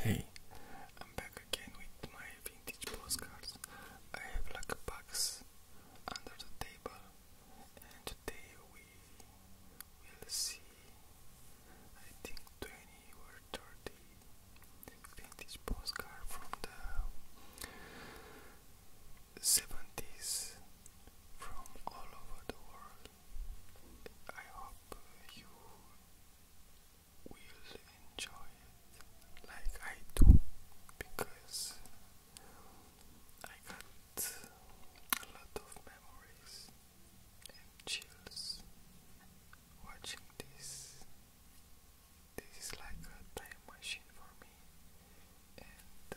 Hey, I'm back again with my vintage postcards. I have a box under the table, and today we will see, I think, 20 or 30 vintage postcards from the 70s from all over the world. I hope you will enjoy it like I do because I got a lot of memories and chills watching this. This is like a time machine for me, and uh,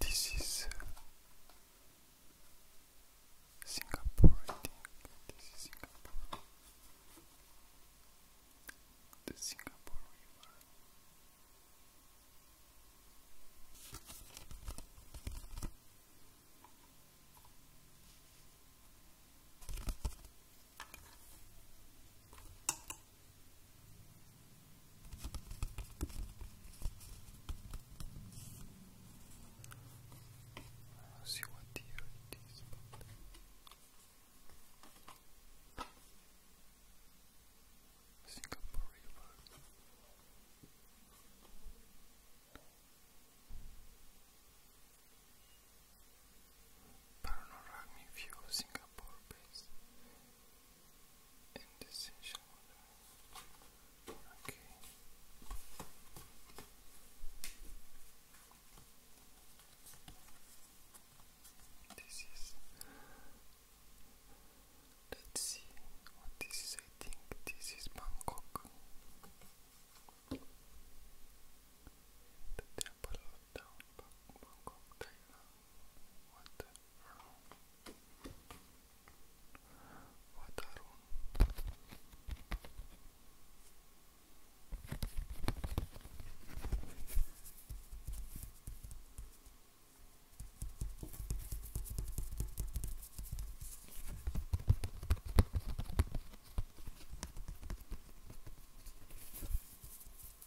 This is uh, Singapore, This is Singapore. The Singapore River see what year it is. But... Singapore Singapore River. Panoramic view Singapore based Okay. This is. Let's see what this is. I think this is Bangkok. The temple of down Bangkok, Thailand. Watarun. Watarun.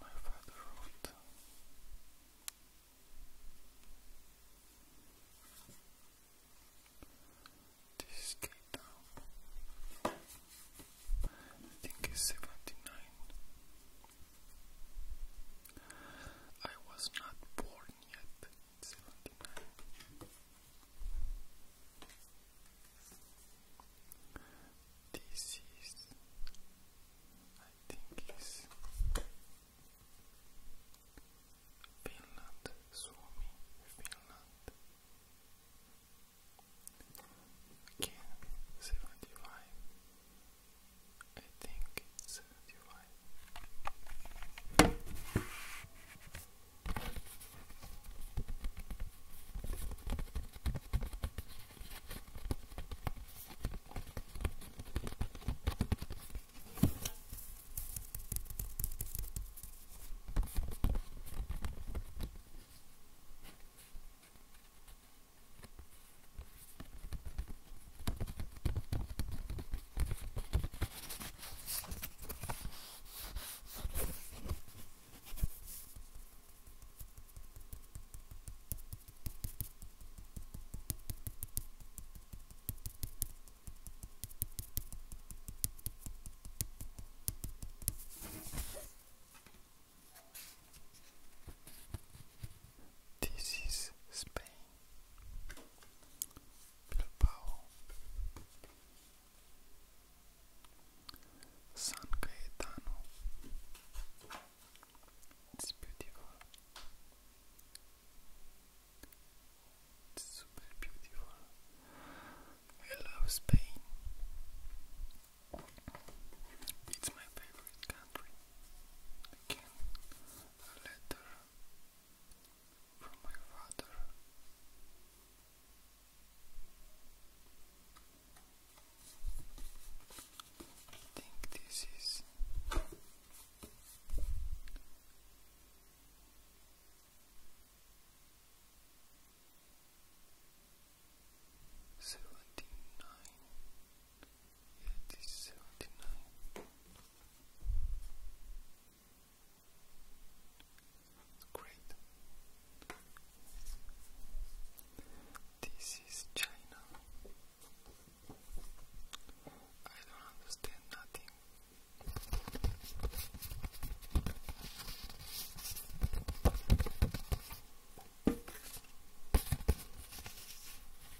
My father wrote this gate I think it's seventy nine. I was not born yet seventy nine. This is, I think, is Finland, Suomi, Finland. Again, seventy five. I think it's this is Spain. Bilbao, San Cayetano. It's beautiful. It's super beautiful. I love Spain. It's my favorite country. Again, a letter from my father. I think this is seventy nine. Yeah, Great. This is China. I don't understand nothing.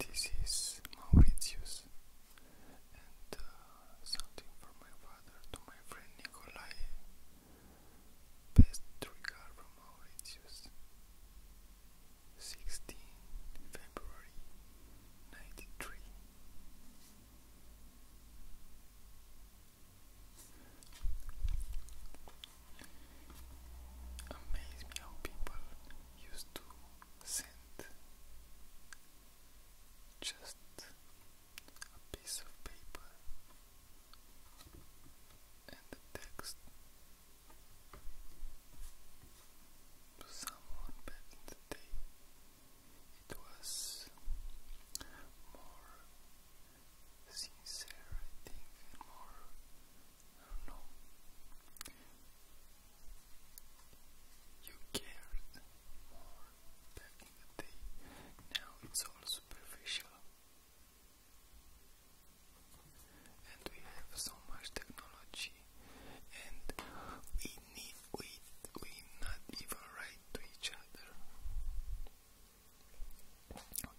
This is Mauritius and uh, something from my father to my friend Nikolai. Best regard from Mauritius. 16 February 93 Amaze me how people used to send just a piece of paper and the text to someone the day. It was more sincere, I think, and more, I don't know, you cared more back in the day. Now it's all superficial. And we have so much technology and we we we not even write to each other.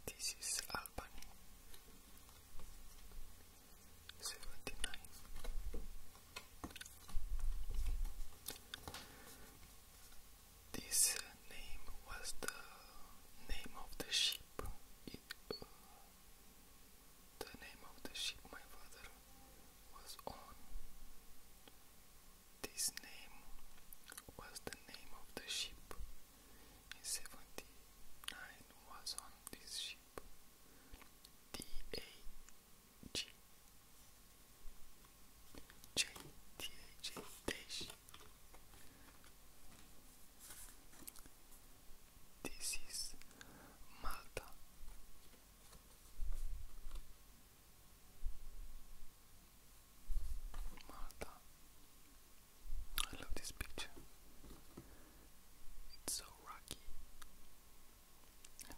This is Albany. 79. This name was the name of the ship uh, the name of the ship my father was on. This name was the name of the ship. In seventy nine was on this ship. D A G J T A J dash this is Malta. Malta. I love this picture. It's so rocky and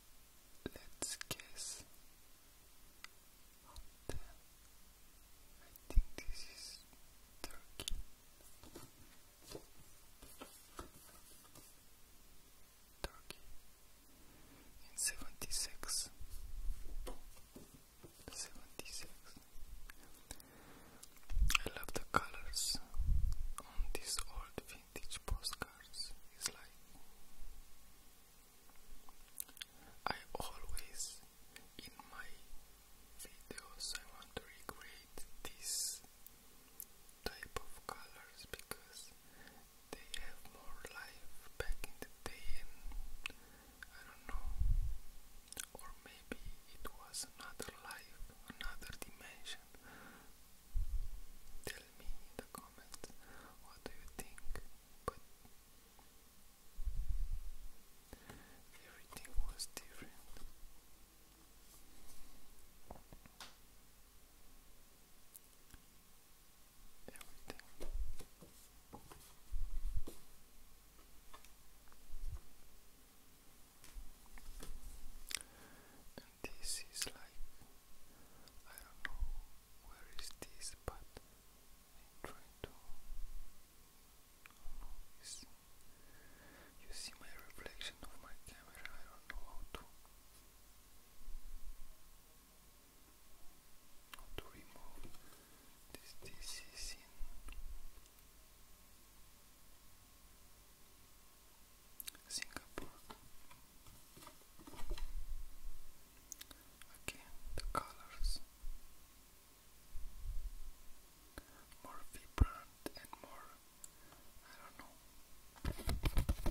let's guess I think this is Turkey. Turkey in seventy six. Seventy six. I love the colors on this old vintage postcards is like I always in my videos I want to recreate this type of colors because they have more life back in the day and I don't know or maybe it was another life, another dimension question. Tell me in the comments what do you think, everything was different. Everything. And this is like I don't know where is this, but I try to. you see my reflection of my camera? I don't know how to how to remove this. This is in. Singapore. Again, the colors more vibrant and more, I don't know.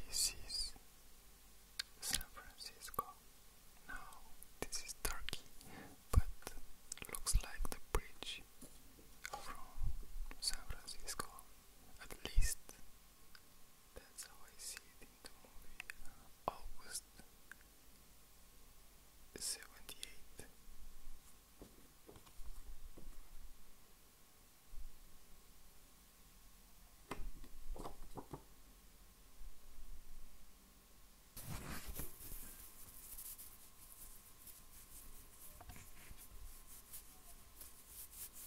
This is San Francisco. Now this is Turkey, but looks like the bridge from San Francisco at least that's how I see it in the movie. Uh, August 78.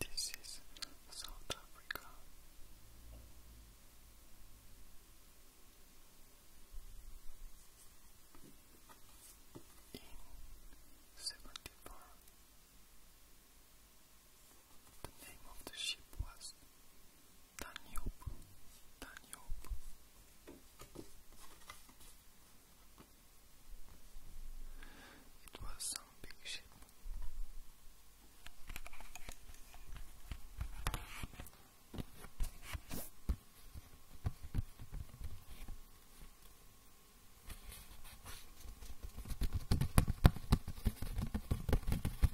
This is South Africa. In seventy four, the name of the ship was Danube. Danube. It was some big ship.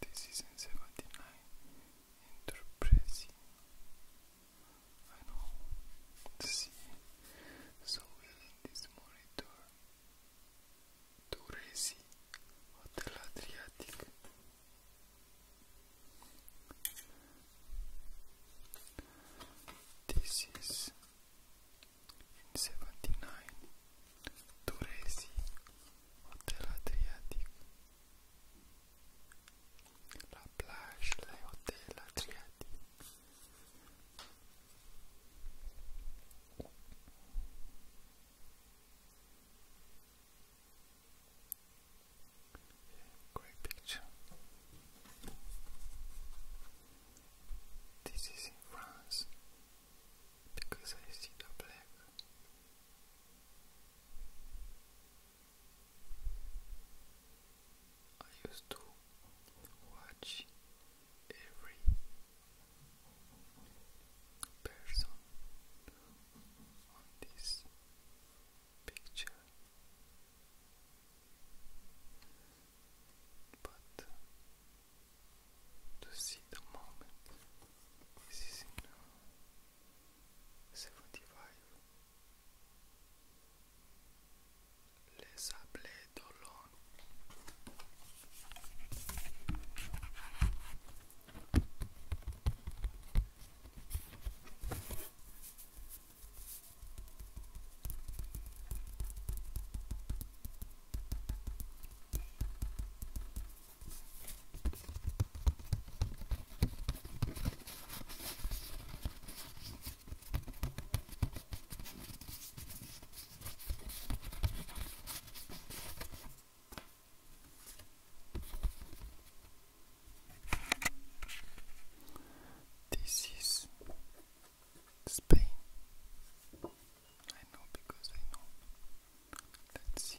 This is in 79 Enterprise. I know to see so well this monitor. Turesi Hotel Adriatic. This is 79, Turesi, Hotel Adriatic. La plage, les hôtels Adriatic. great picture. This is in France because I see the black. I used to watch every person on this picture, but to see the moment. This is in uh, 75. Les Sablés d'Olonne. This is Spain. I know because I know. Let's see.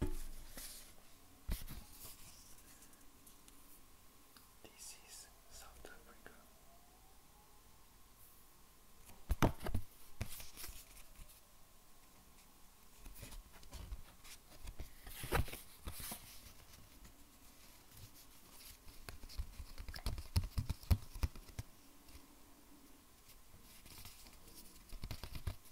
This is South Africa.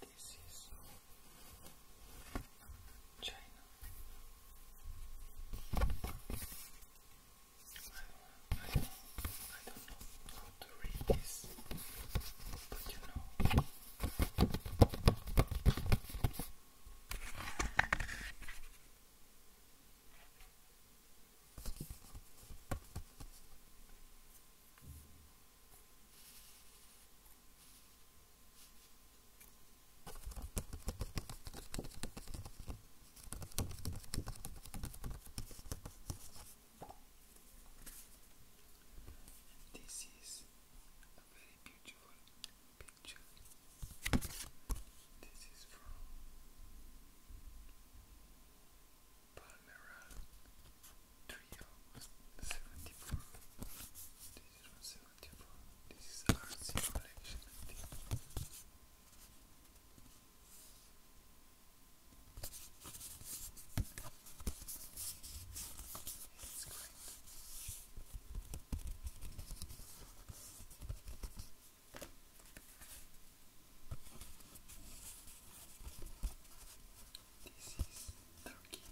This is China. I don't, I don't, I don't know how to read this, but you know. And this is a very beautiful picture. This is from Palmeral Trio This is from This is Artsy Collection, this is Turkey.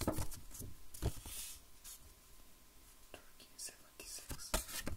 Turkey seventy six. Turkey.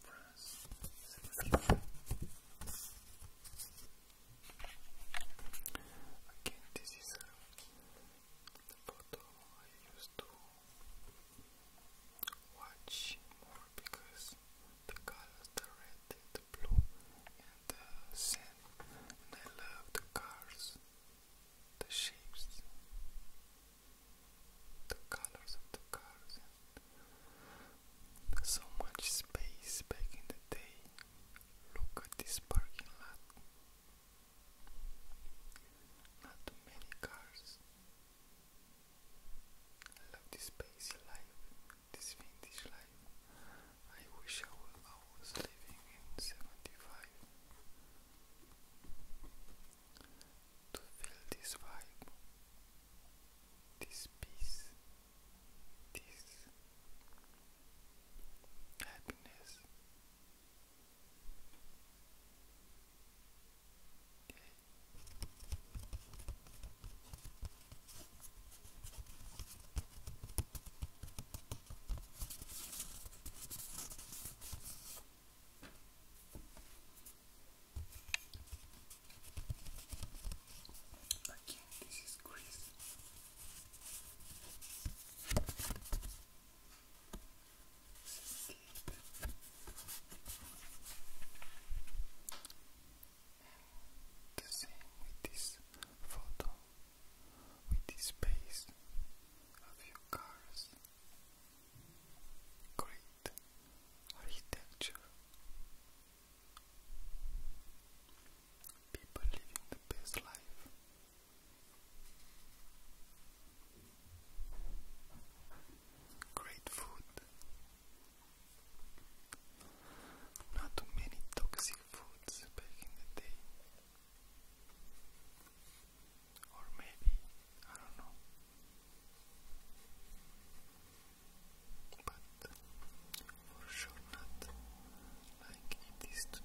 France. Again, this is the photo I used to watch more because the colors, the red, the blue, and the sand, and I love the cars, the shapes, the colors of the cars. So much space back in the day. Look at this parking lot. Not too many cars. I love this space life, this vintage life. I wish I was living in 75 to feel this vibe this peace, this happiness. Again, this is grease. the same with this photo, with this paste of your cars. Great architecture. People living the best life. Great food. Not too many toxic foods back in the day. Or maybe, I don't know but for sure not like it is today.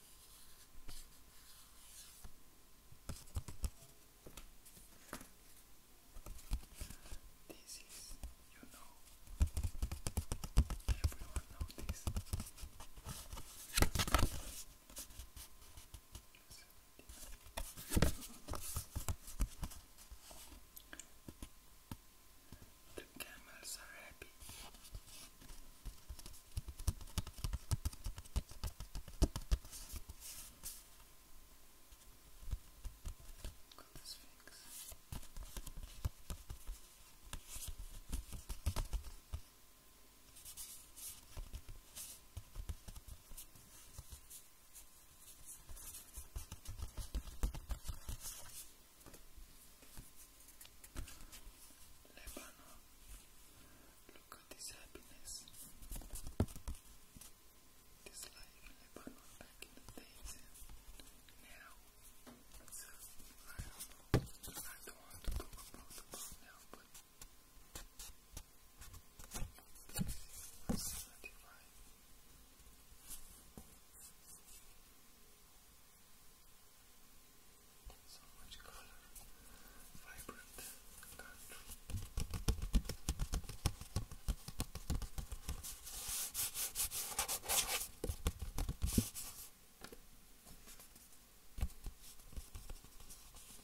This is, you know, everyone knows this. The camels are happy. Look at this things. Look Lebanon, look at this happiness. This life in Lebanon back in the days and now. So, I don't want to talk about the book now, but this is 175. So much color, vibrant country.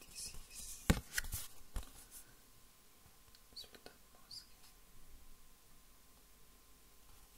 This is Sultan Mosque.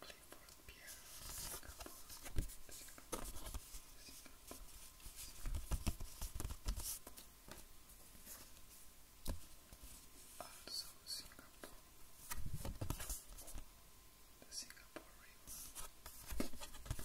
Clifford Pierre, Singapore, Singapore, Singapore, Singapore. Also Singapore, the Singapore River. Singapore,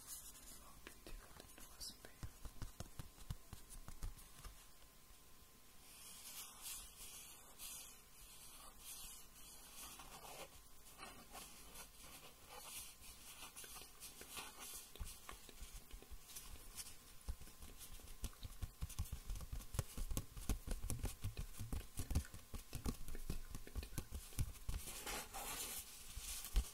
Welcome to the newest video. Thank you